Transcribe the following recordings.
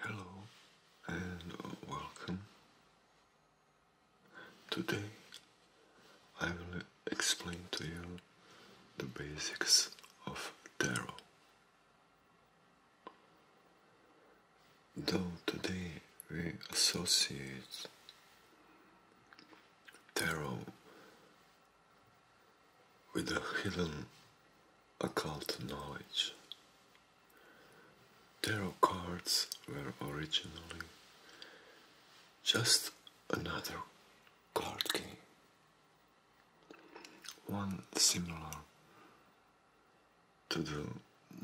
Hello and welcome. Today I will explain to you the basics of tarot. Though today we associate tarot with the hidden occult knowledge. Tarot cards were originally just another card game. One similar to the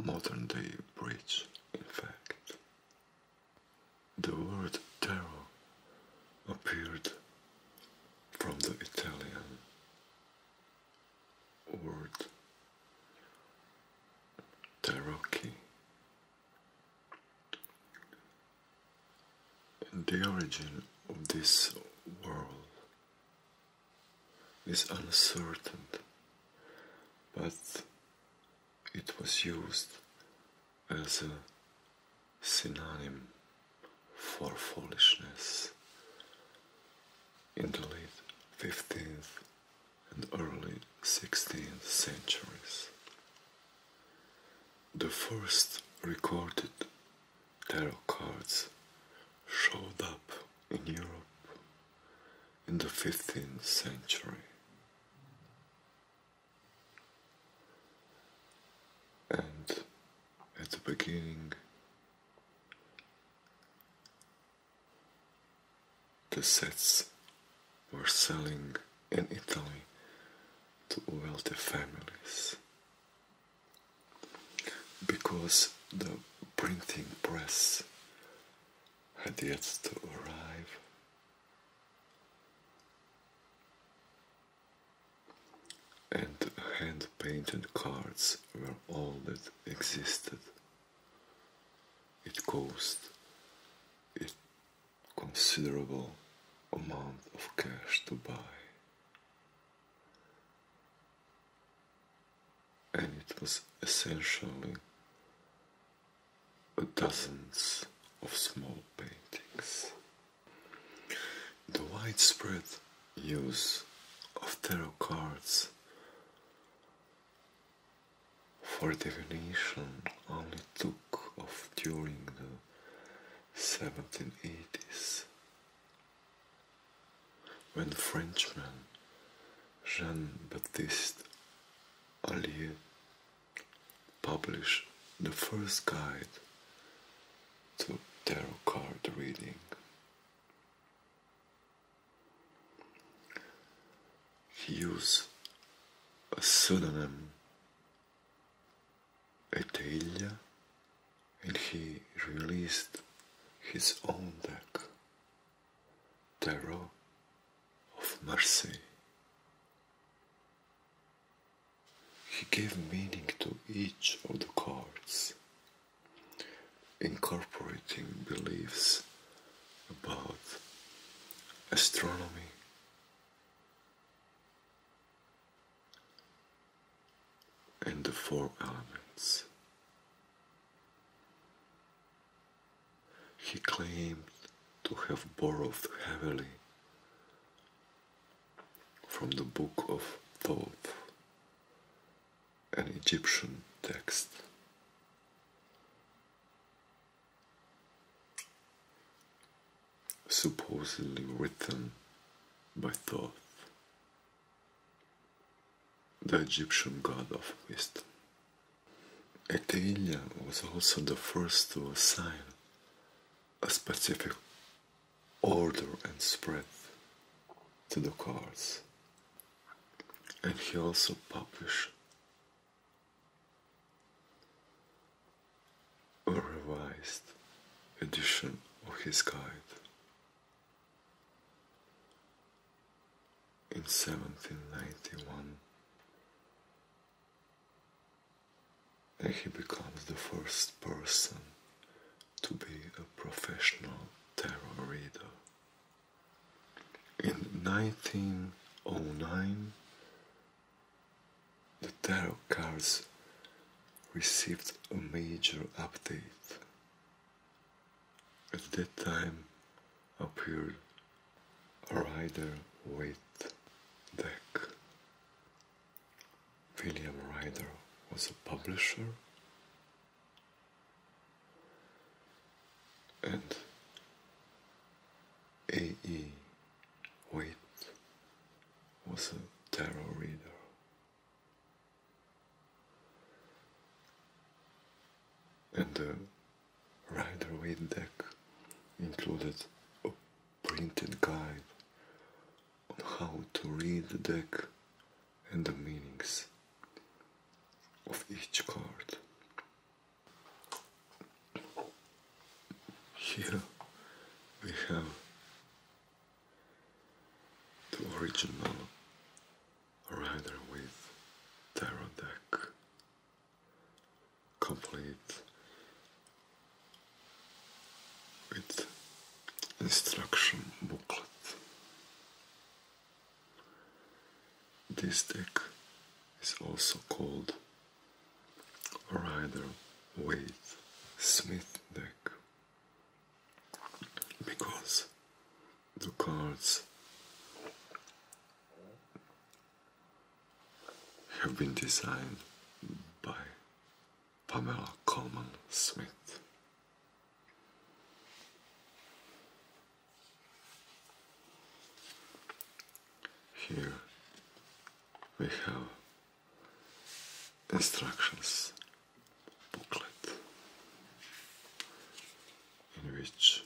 modern day bridge, in fact. The word tarot appeared from the Italian word Tarocchi. the origin of this world is uncertain, but it was used as a synonym for foolishness in the late 15th and early 16th centuries. The first recorded tarot cards showed up in Europe in the 15th century. And at the beginning, the sets were selling in Italy to wealthy families because the printing press had yet to arrive and hand-painted cards were all that existed. It cost a considerable amount of cash to buy, and it was essentially dozens of small paintings. The widespread use of tarot cards for divination only took off during the 1780s when Frenchman Jean Baptiste Allier Published the first guide to tarot card reading. He used a pseudonym Etelia and he released his own deck, Tarot of Mercy. He gave meaning to each of the cards, incorporating beliefs about astronomy, and the four elements. He claimed to have borrowed heavily from the Book of Thoth, an Egyptian text. Supposedly written by Thoth, the Egyptian god of wisdom. Ecteilia was also the first to assign a specific order and spread to the cards. And he also published a revised edition of his guide in 1791 he becomes the first person to be a professional tarot reader. In 1909, the tarot cards received a major update. At that time appeared a Rider with deck. William Ryder was a publisher and A.E. Waite was a tarot reader. And the Rider Waite deck included printed guide on how to read the deck and the meanings of each card. Here we have the original or rather, with Tarot deck complete with instruction booklet. This deck is also called Rider Waite Smith deck because the cards have been designed by Pamela Coleman Smith. Here we have instructions booklet in which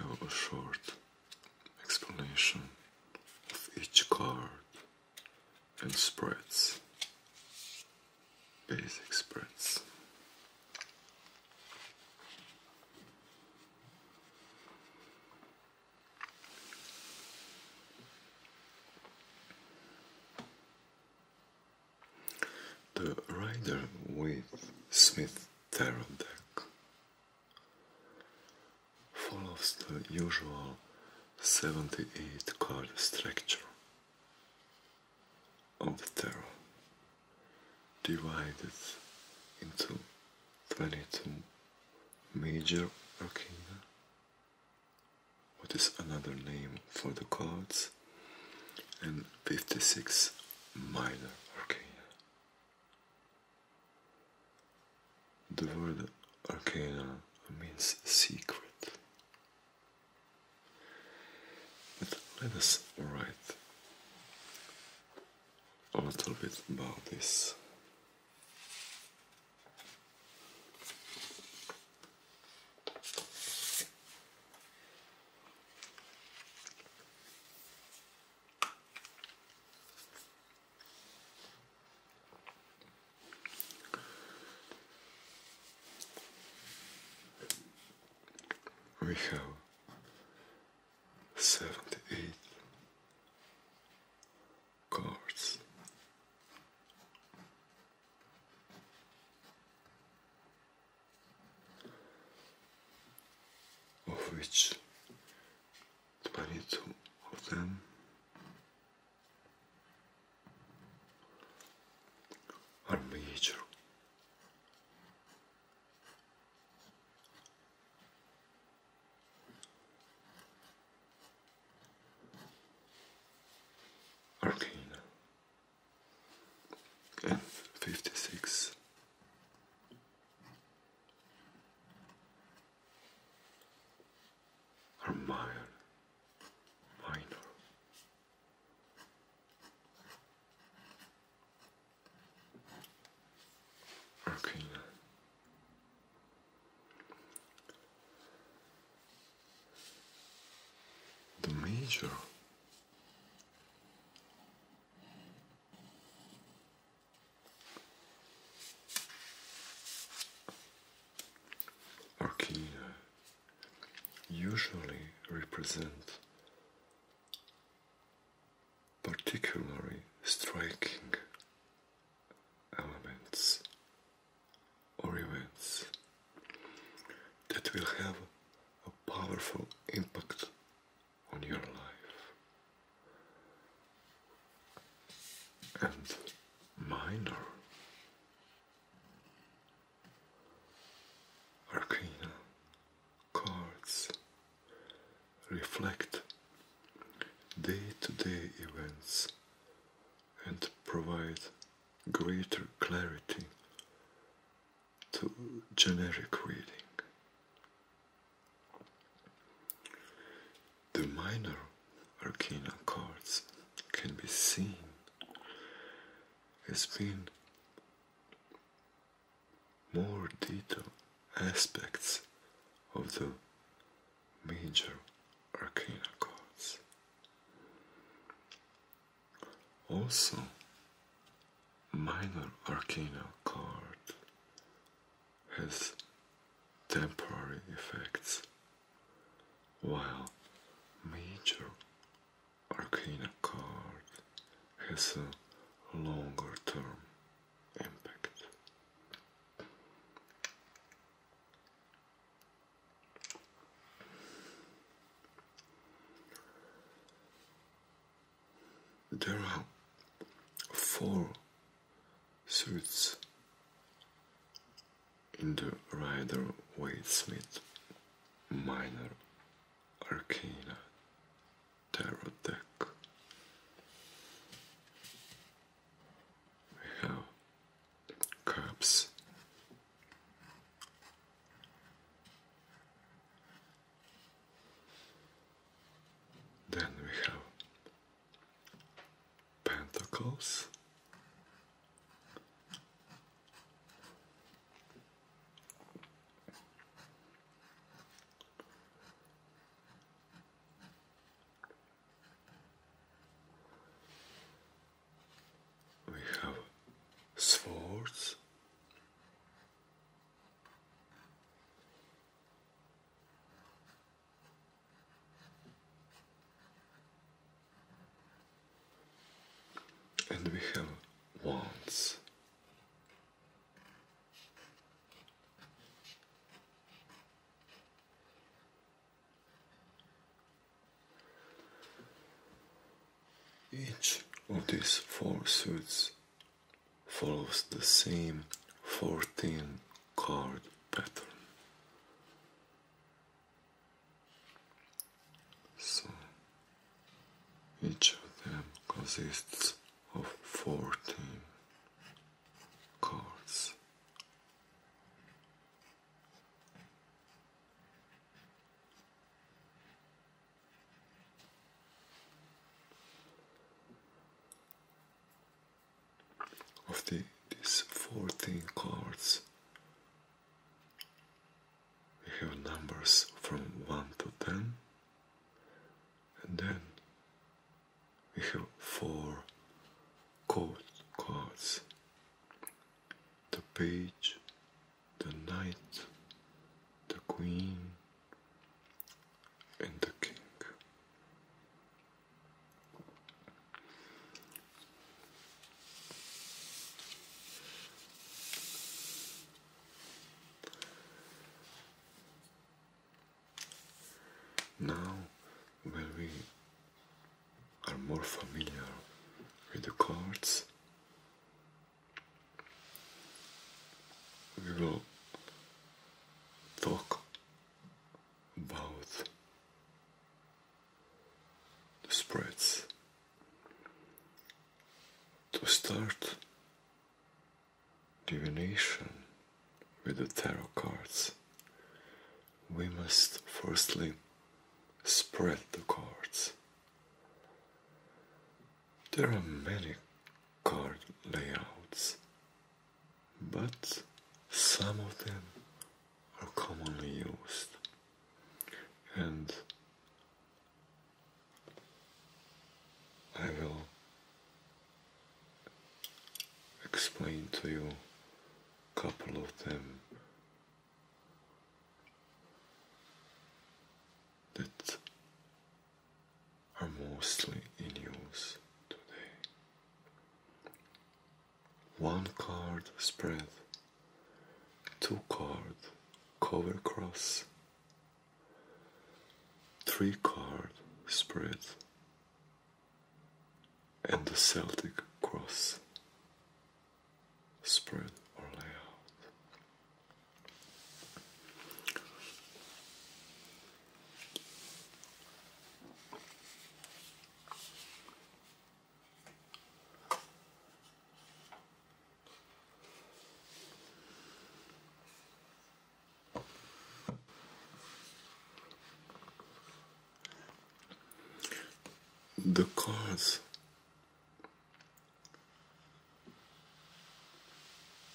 I have a short explanation of each card and spreads, basic spreads. The Rider with Smith Tarot deck follows the usual 78 card structure of the tarot, divided into 22 major arcana, what is another name for the cards, and 56 minor arcana. The word arcana means secret. But let us write a little bit about this. We have seventy eight cards. Of which Spare two of them. Are major. Arcana and fifty six are minor. minor. Arcana. The major Orchina uh, usually represent particularly striking elements or events that will have a powerful impact on your life and minor arcana cards reflect day to -day events and provide greater clarity to generic reading. The minor arcana cards can be seen as being more detailed aspects of the major arcana cards. Also, minor arcana card has temporary effects while major arcana card has a longer term impact there are four suits in the Rider Waite-Smith Minor Arcana Tarot deck. We have Cups, then we have pentacles. We have swords and we have wants. Each of these four suits follows the same 14 card pattern. So each of them consists of 14 cards of the, these 14 cards we have numbers from 1 to 10 and then we have four code cards the page the knight the queen and the king. Now, when we are more familiar with the chords, we will talk about the spreads. To start divination with the tarot cards, we must firstly spread the cards. There are many card layouts, but some of them are commonly used and I will explain to you a couple of them that are mostly in use today. One card spread, two card cover cross, three card spread, and the Celtic cross spread or layout. The cause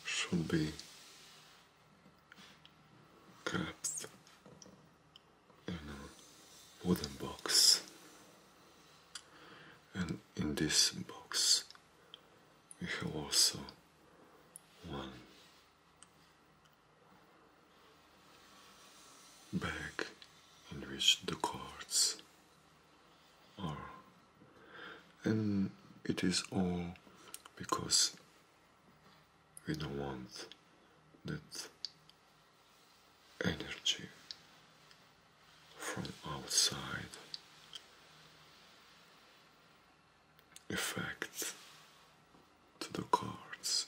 should be kept in a wooden box and in this box we have also one bag in which the cards are and it is all because we don't want that energy from outside effects to the cards.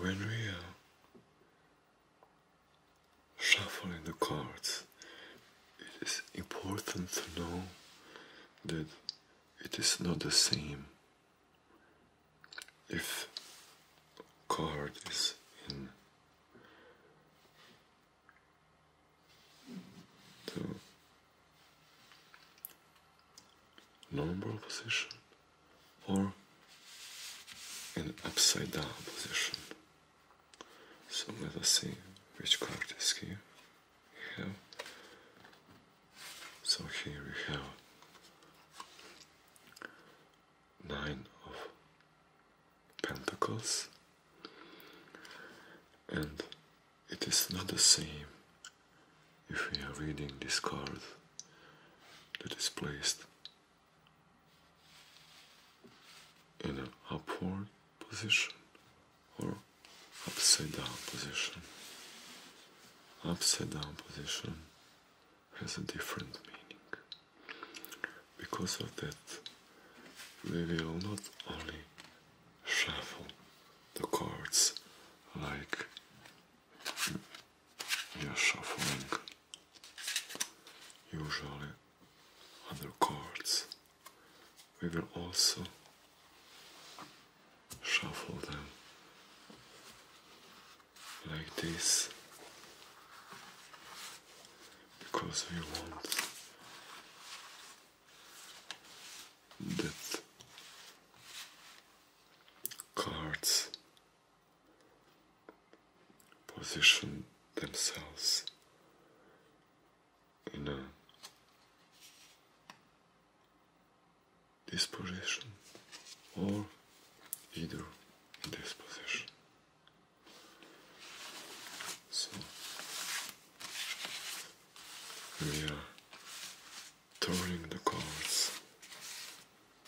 When we Shuffling the cards, it is important to know that it is not the same if card is in normal position or an upside down position. So let us see which card is here. We So here we have nine of pentacles and it is not the same if we are reading this card that is placed in an upward position or upside down position. Upside down position has a different meaning. Because of that, we will not only shuffle the cards like you're shuffling usually other cards. We will also shuffle them like this because we want that cards position themselves in a disposition or either in this position. So we are turning the cards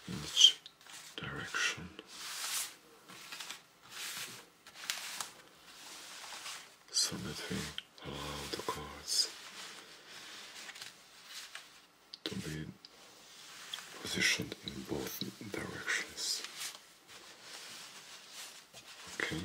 in each direction. So that we allow the cards to be positioned in both directions. Okay.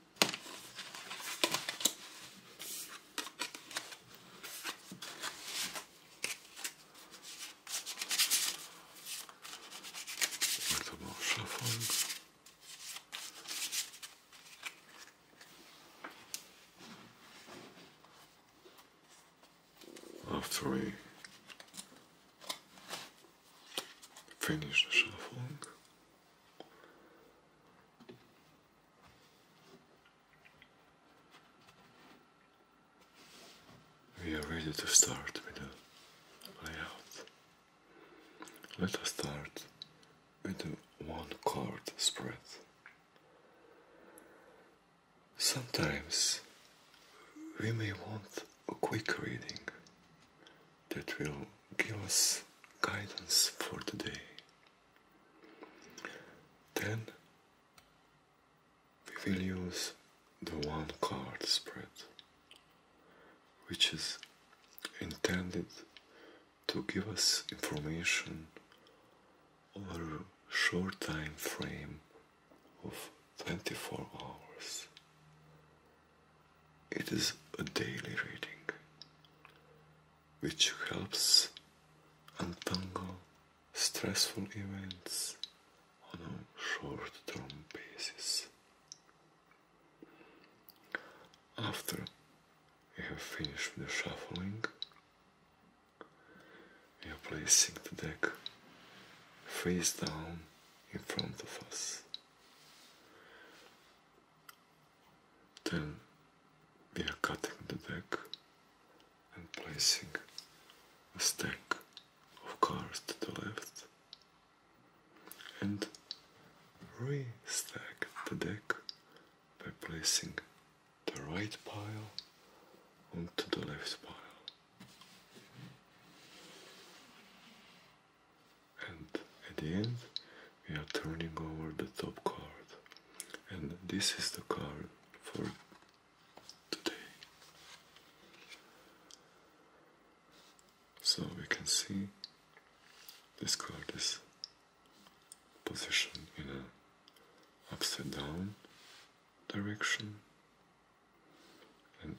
Langsam Ausschaffung. After we finish the shuffling, we are ready to start with the layout. Let us start with the one chord spread. Sometimes we may want a quick reading that will give us guidance for today. Then we will use the one card spread, which is intended to give us information over a short time frame of 24 hours. It is a daily reading which helps untangle stressful events on a short term basis. After you have finished the shuffling, we are placing the deck face down in front of us. Then we are cutting the deck and placing a stack of cards to the left and restack the deck by placing the right pile onto the left pile and at the end we are turning over the top card and this is the card for today so we can see this card is positioned in an upside down direction and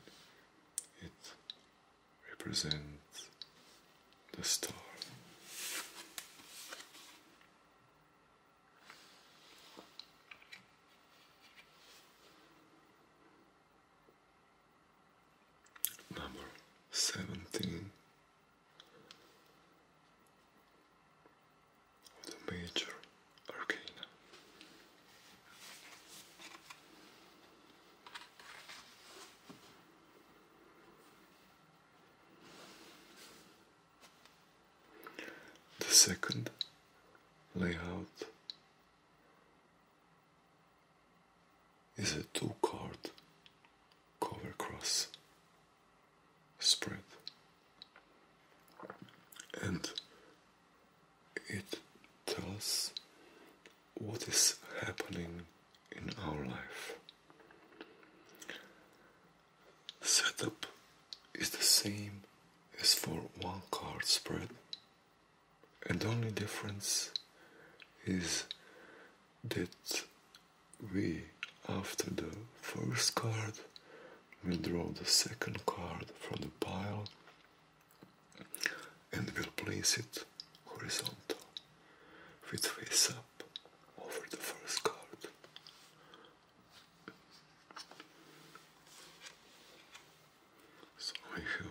it represents the star. Number seventeen of the major arcana. The second layout is a two card cover cross spread and it tells what is happening in our life. Setup is the same as for one card spread, and only difference is that we, after the first card, will draw the second card from the pile and we will place it horizontal with face up over the first card. So I have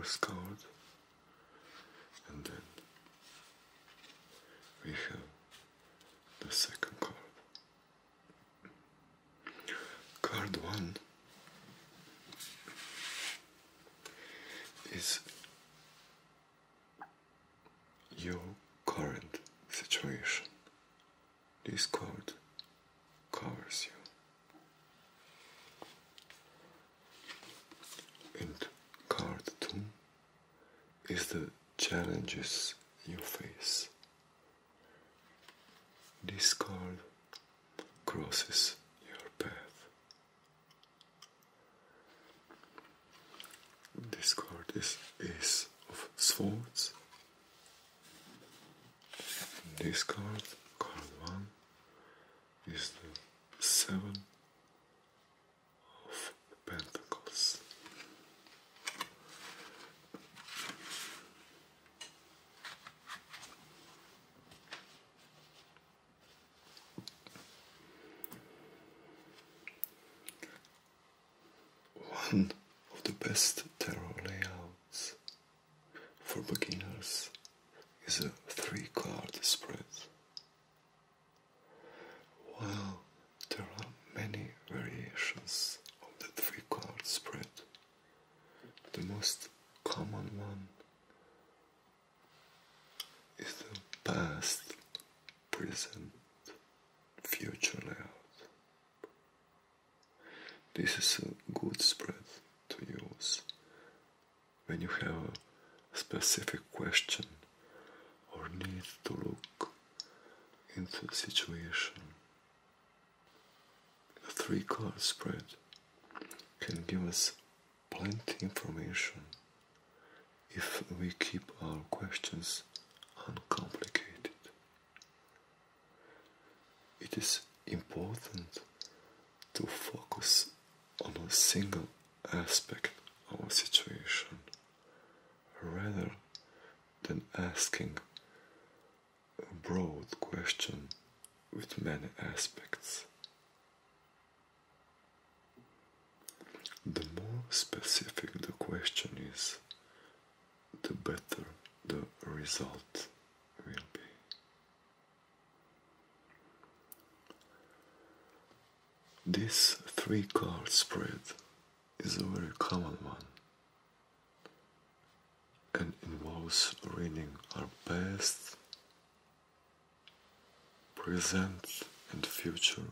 first card and then we have the second card. Card 1 is your current situation. This code covers you. And card 2 is the challenges you face. This card crosses your path. This card is Ace of Swords. This card, card 1, is the 7 of Pentacles. One of the best tarot layouts for beginners is a three card spread. While there are many variations of the three card spread, the most common one is the past, present, future layout. This is a good spread to use when you have a specific question or need to look into the situation the three color spread can give us plenty information if we keep our questions uncomplicated. It is important to focus on a single aspect of a situation rather than asking a broad question with many aspects. The more specific the question is, the better the result will be. This three card spread is a very common one and involves reading our past, present, and future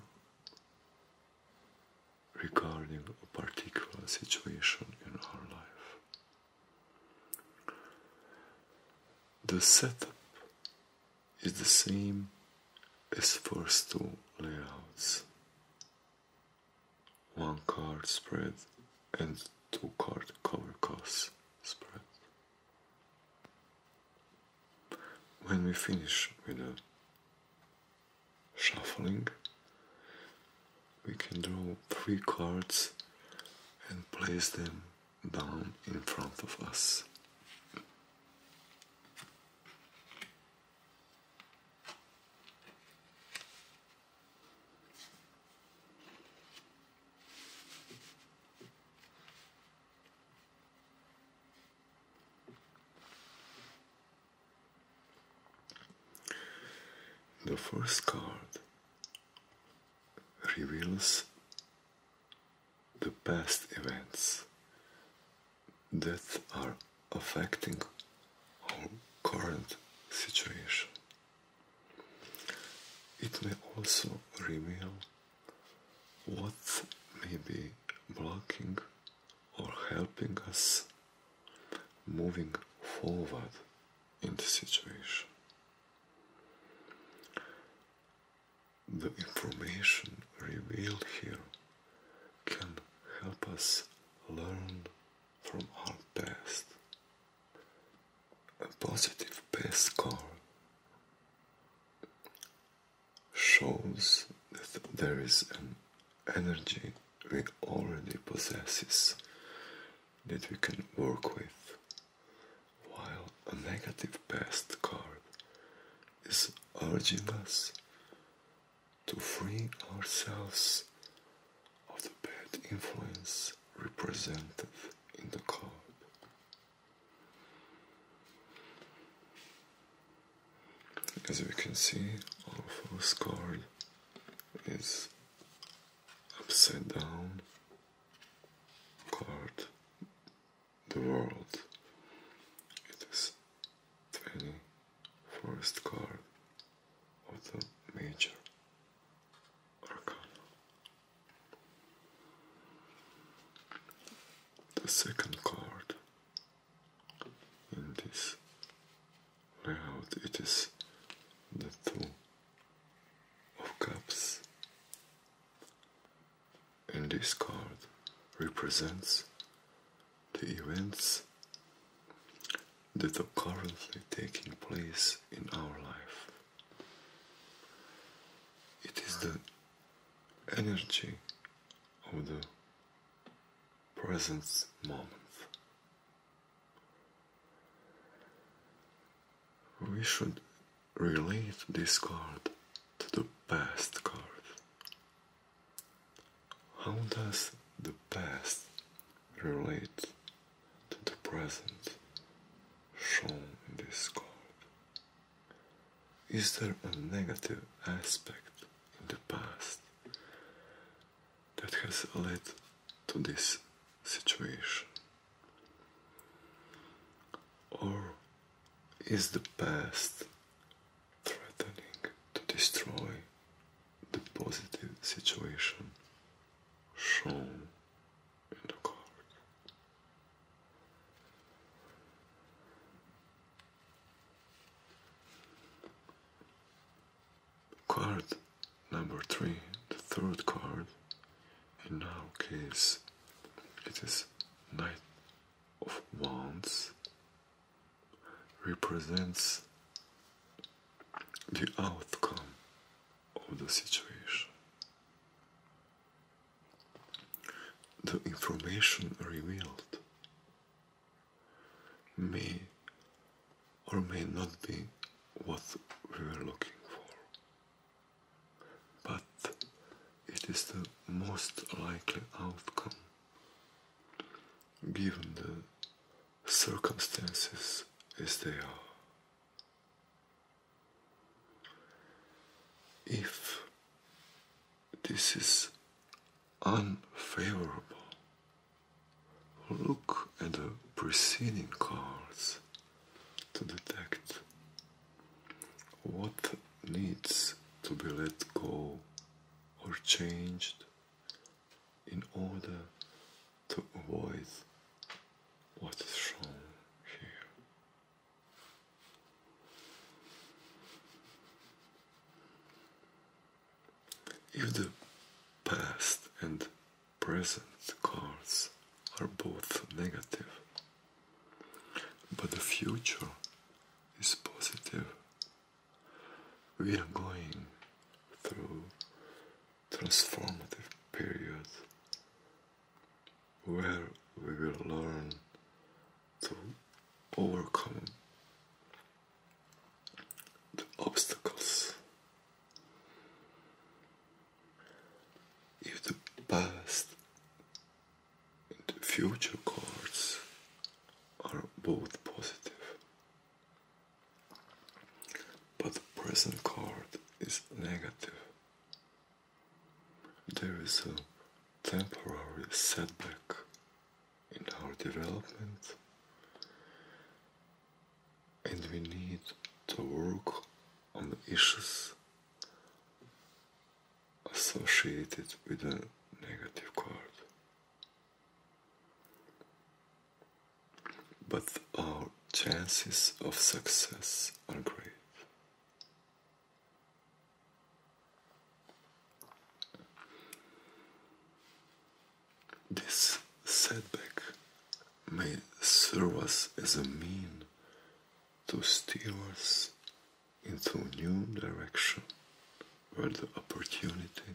regarding a particular situation in our life. The setup is the same as first two layouts. One card spread and two card cover cost spread. When we finish with the shuffling, we can draw three cards and place them down in front of us. The first card reveals the past events that are affecting our current situation. It may also reveal what may be blocking or helping us moving forward in the situation. The information revealed here can help us learn from our past a positive past card shows that there is an energy we already possess that we can work with, while a negative past card is urging us to free ourselves of the bad influence represented in the card. As we can see, our first card is upside down card, the world. It is 21st card of major arcana. The second card in this layout it is the two of cups and this card represents the events that are currently taking place in our life it is the energy of the present moment. We should relate this card to the past card. How does the past relate to the present shown in this card. Is there a negative aspect in the past that has led to this situation? Or is the past threatening to destroy the positive situation shown? Card number three, the third card. In our case, it is Knight of Wands. Represents the outcome of the situation. The information revealed may or may not be what we were looking for, but it is the most likely outcome given the circumstances as they are. If this is unfavorable, look at the preceding cards to detect what needs to be let go or changed in order to avoid what is shown here. If the past and present cards are both negative, but the future is positive, we are going through transformative period where we will learn to overcome the obstacles. If the past and the future cards are both positive, but the present card is negative. There is a temporary setback in our development, and we need to work on the issues associated with a negative card but our chances of success are great. This setback may serve us as a mean to steer us into a new direction where the opportunity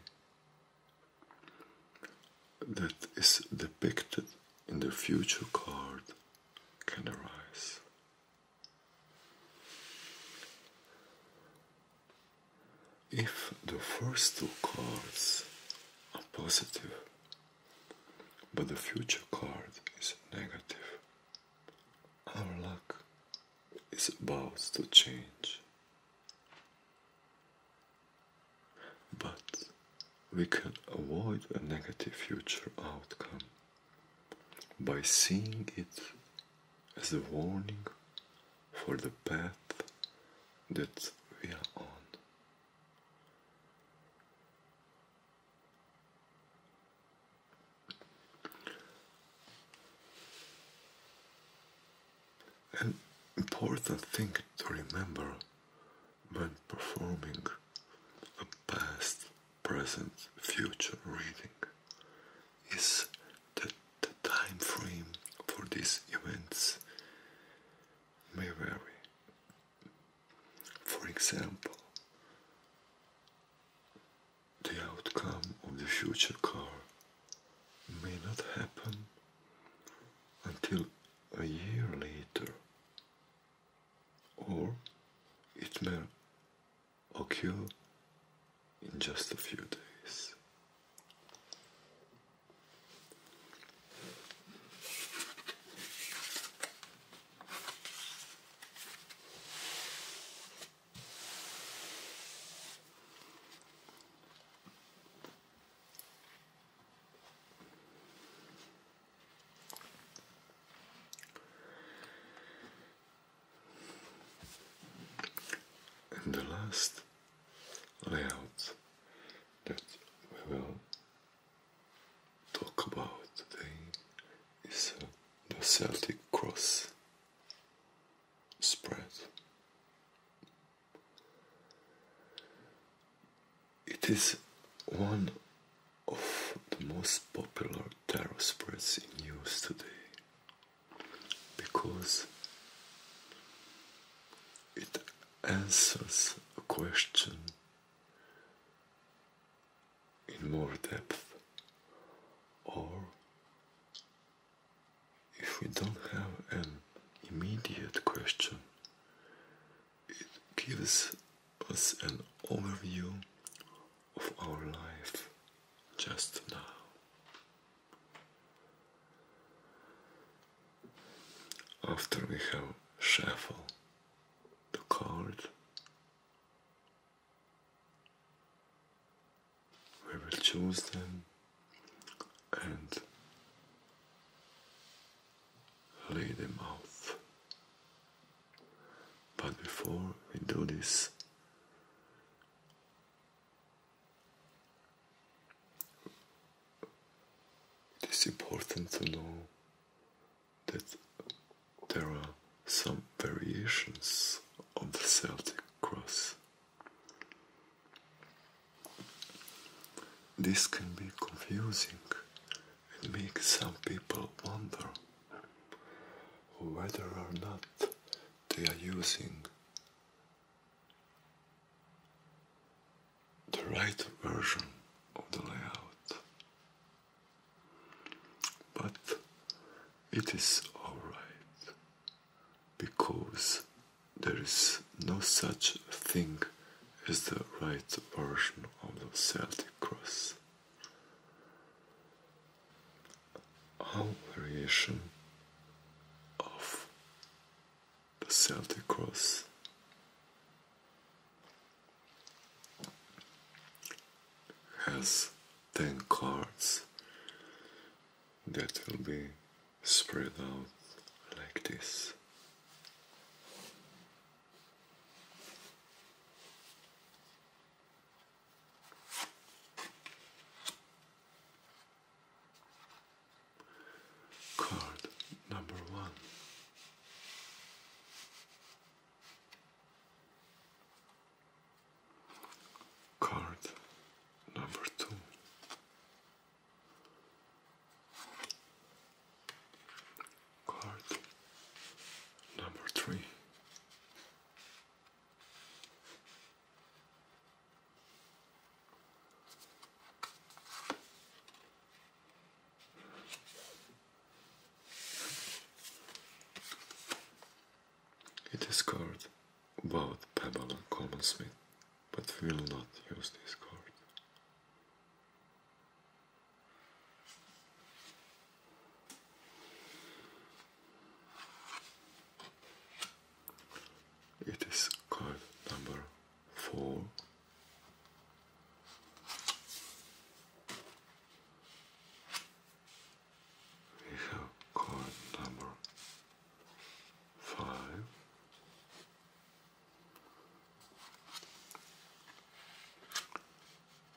that is depicted in the future card can arise. If the first two cards are positive, but the future card is negative, our luck is about to change. But we can avoid a negative future outcome by seeing it as a warning for the path that we are on. An important thing to remember when performing a past, present, future reading is that the time frame for these events may vary. For example, the outcome of the future car may not happen until a year later, or it may occur in just a few days. And the last layout that we will talk about today is uh, the Celtic Cross spread. It is one of the most popular tarot spreads in use today because it answers a question in more depth or if we don't have an immediate question, it gives us an overview of our life just now. After we have shuffled the cards, we will choose them and lay them out. But before we do this, it is important to know that there are some variations on the Celtic cross. This can be confusing and make some people wonder whether or not they are using the right version of the layout. But it is alright because there is no such thing as the right version of the Celtic cross. All variation of the Celtic cross has 10 cards that will be spread out like this. Card number one. Card number two. Card number three. It is called both pebble and common smith but will not use this card. It is card number four. We have card number five.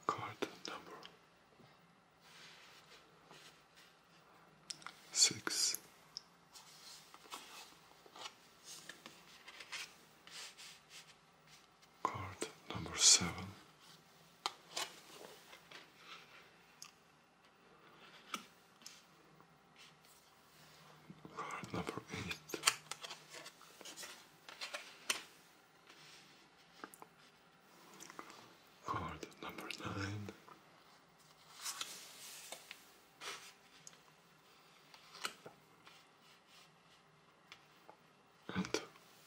Card number six. Card number seven. Card number eight. Card number nine. And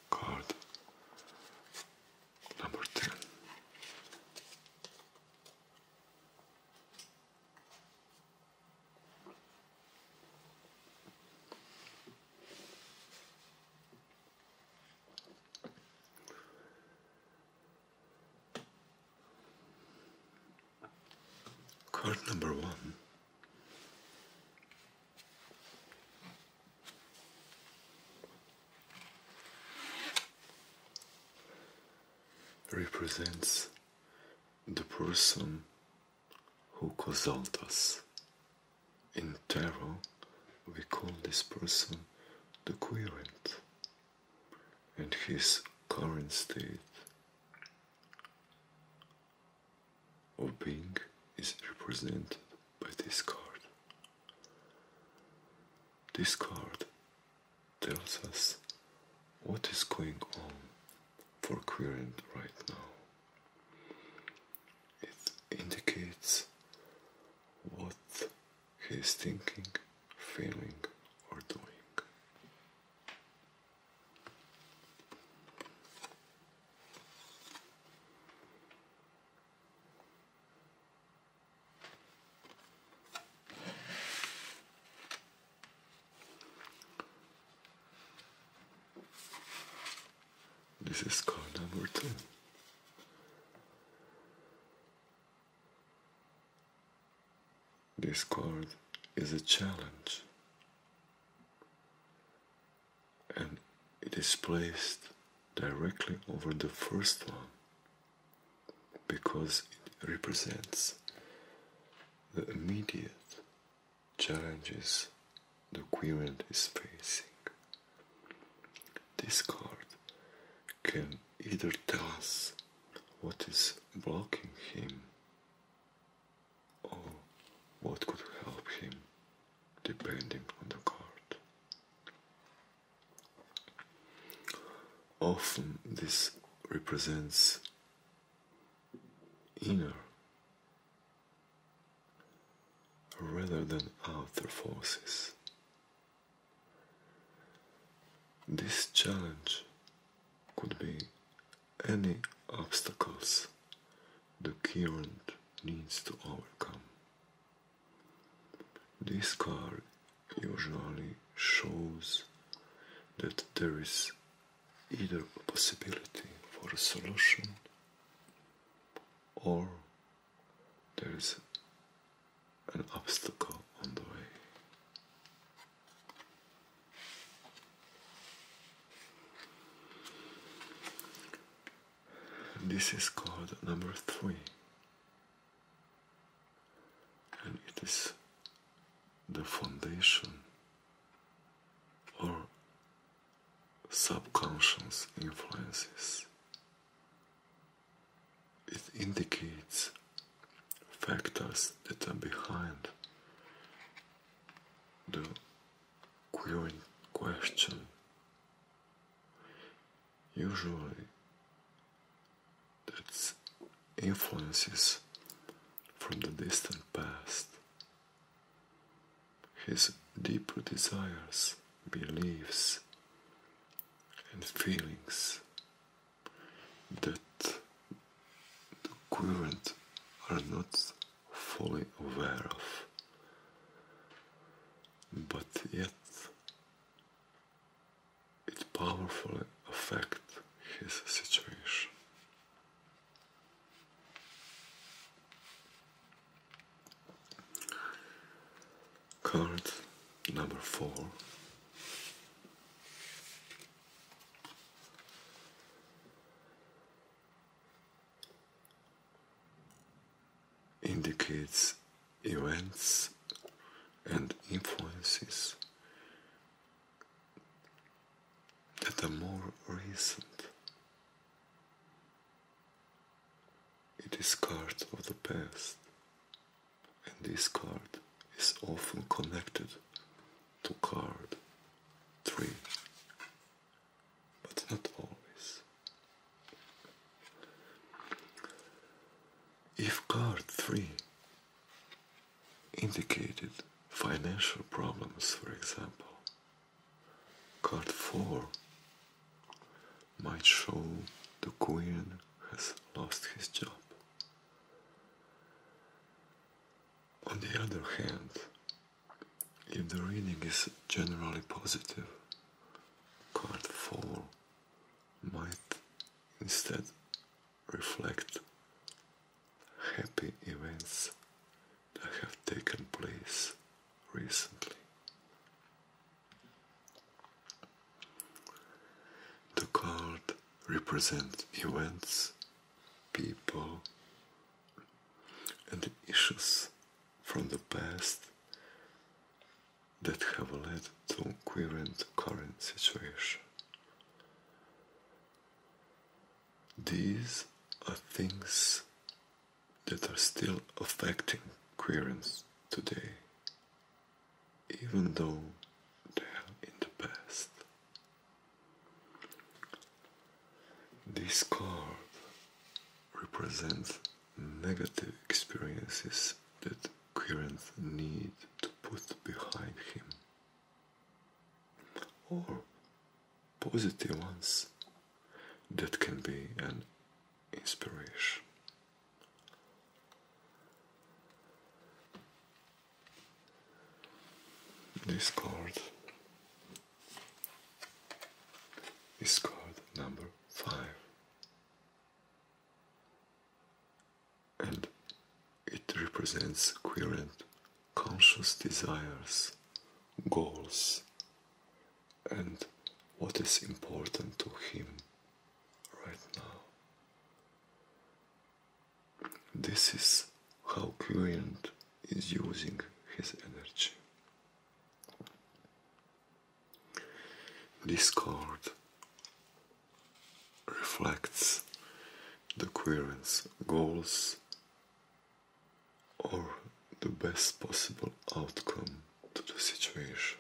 card number ten. Card number one represents the person who consults us. In tarot, we call this person the querent, and his current state of being is represented by this card. This card tells us what is going on for Querent right now. It indicates what he is thinking, feeling, or doing. This is call number two. This card is a challenge and it is placed directly over the first one because it represents the immediate challenges the querent is facing. This card can either tell us what is blocking him or what could help him depending on the card. Often this represents inner rather than outer forces. This challenge could be any obstacles the current needs to overcome. This card usually shows that there is either a possibility for a solution or there is an obstacle on the way. This is called number three and it is the foundation or subconscious influences. It indicates factors that are behind the query question. Usually, that's influences from the distant past. His deeper desires, beliefs, and feelings that the current are not fully aware of, but yet it powerfully affects his situation. Card number four. indicates events and influences that are more recent. It is card of the past, and this card is often connected to card 3, but not always. If card 3 indicated financial problems, for example. Card 4 might show the Queen has lost his job. On the other hand, if the reading is generally positive, card 4 might instead reflect happy events that have taken place recently. The card represents events, people, and issues from the past that have led to current current situation. These are things that are still affecting queerance today, even though they are in the past. This represents negative experiences that currents need to put behind him, or positive ones that can be an inspiration. This card is card number five and it represents current conscious desires, goals, and what is important to him right now. This is how Quirient is using his energy. This card reflects the querent's goals or the best possible outcome to the situation.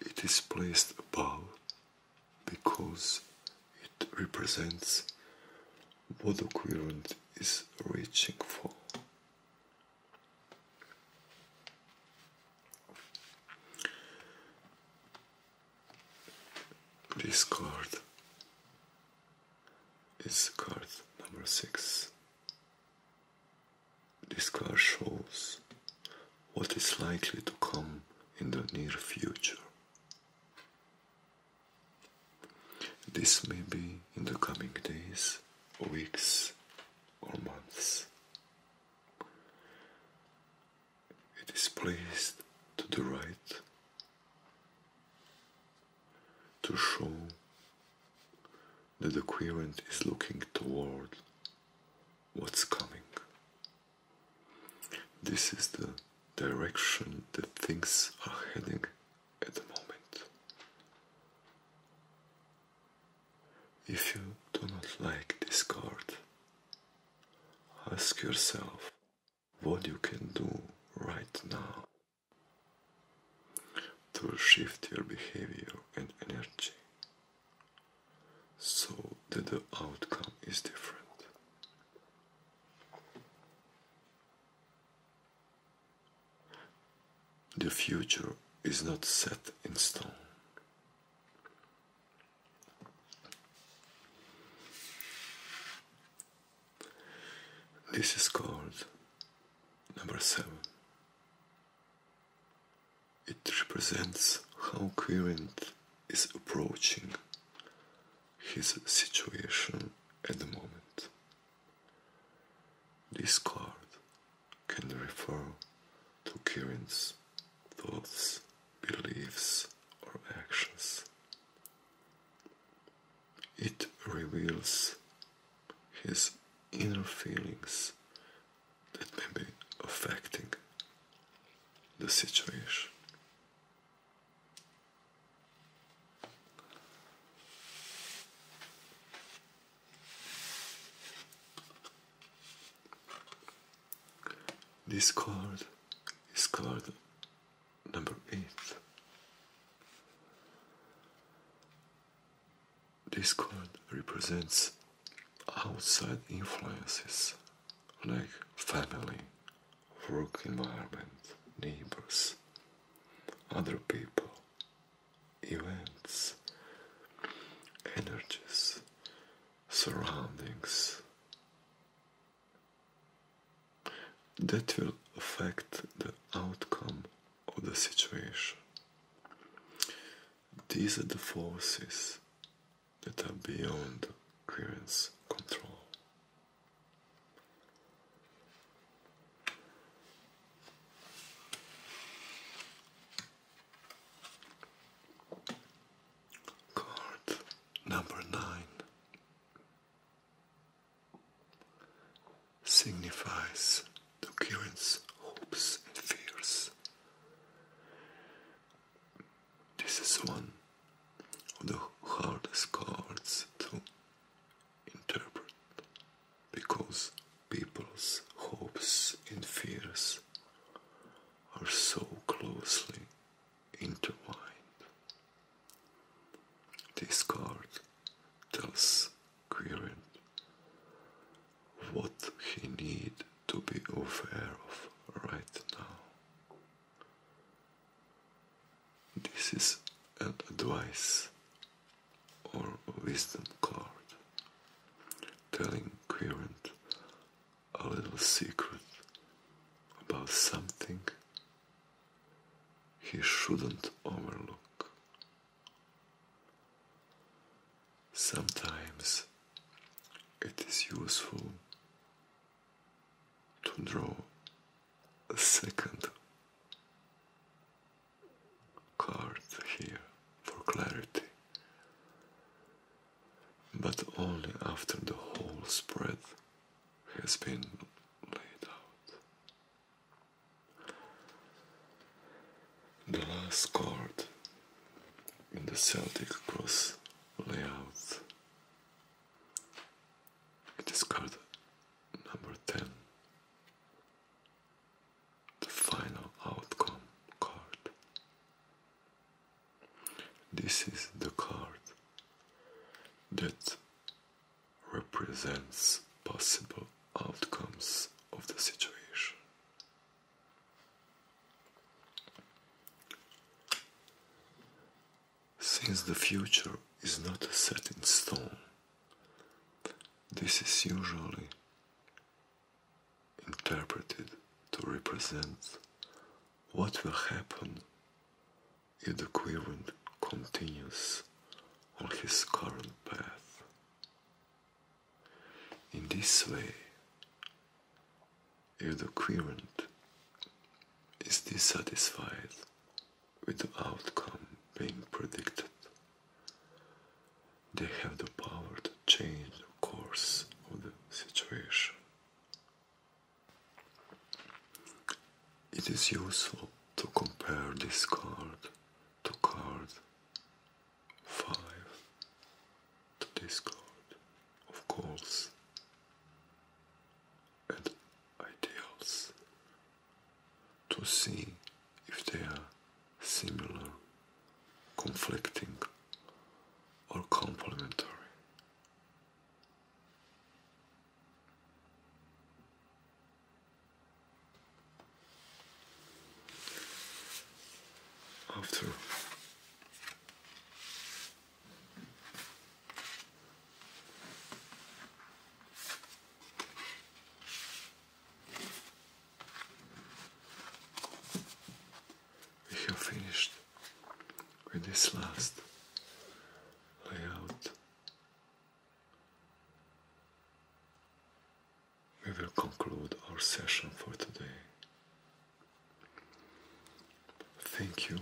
It is placed above because it represents what the querent is reaching for. This card is card number six. This card shows what is likely to come in the near future. This may be in the coming days, weeks, or months. It is placed to the right to show that the querent is looking toward what's coming. This is the direction that things are heading at the moment. If you do not like this card, ask yourself what you can do right now to shift your behavior and energy so that the outcome is different. The future is not set in stone. This is called number seven. It represents how Quirint is approaching his situation at the moment. This card can refer to currents, thoughts, beliefs, or actions. It reveals his inner feelings that may be affecting the situation. This card is card number eight. This card represents outside influences like family, work environment, neighbors, other people, events, energies, surroundings that will affect the outcome of the situation. These are the forces that are beyond clearance control. Card number nine signifies the current's hopes and fears. This is one of the hardest cards to interpret because people's hopes and fears are so closely intertwined. This card tells Quirin what he needs to be aware of right now. This is an advice or wisdom card, telling Quirant a little secret about something he shouldn't overlook. Sometimes it is useful to draw a second card here for clarity, but only after the whole spread has been laid out. The last card in the Celtic cross layout. is card number 10 the final outcome card. This is the card that represents possible outcomes of the situation. Since the future is not set in stone, this is usually interpreted to represent what will happen if the querent continues on his current path. In this way, if the querent is dissatisfied with the outcome being predicted, they have the power to change the course of the situation. It is useful to compare this card to card 5 to this card, of course, and ideals to see if they are similar, conflicting, or complementary. After we have finished with this last layout. We will conclude our session for today. Thank you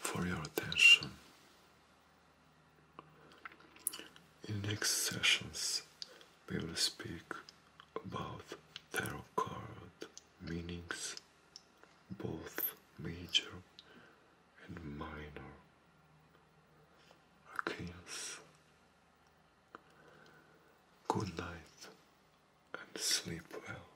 for your attention. In next sessions, we will speak about tarot card meanings, both major and minor arcanes. Good night and sleep well.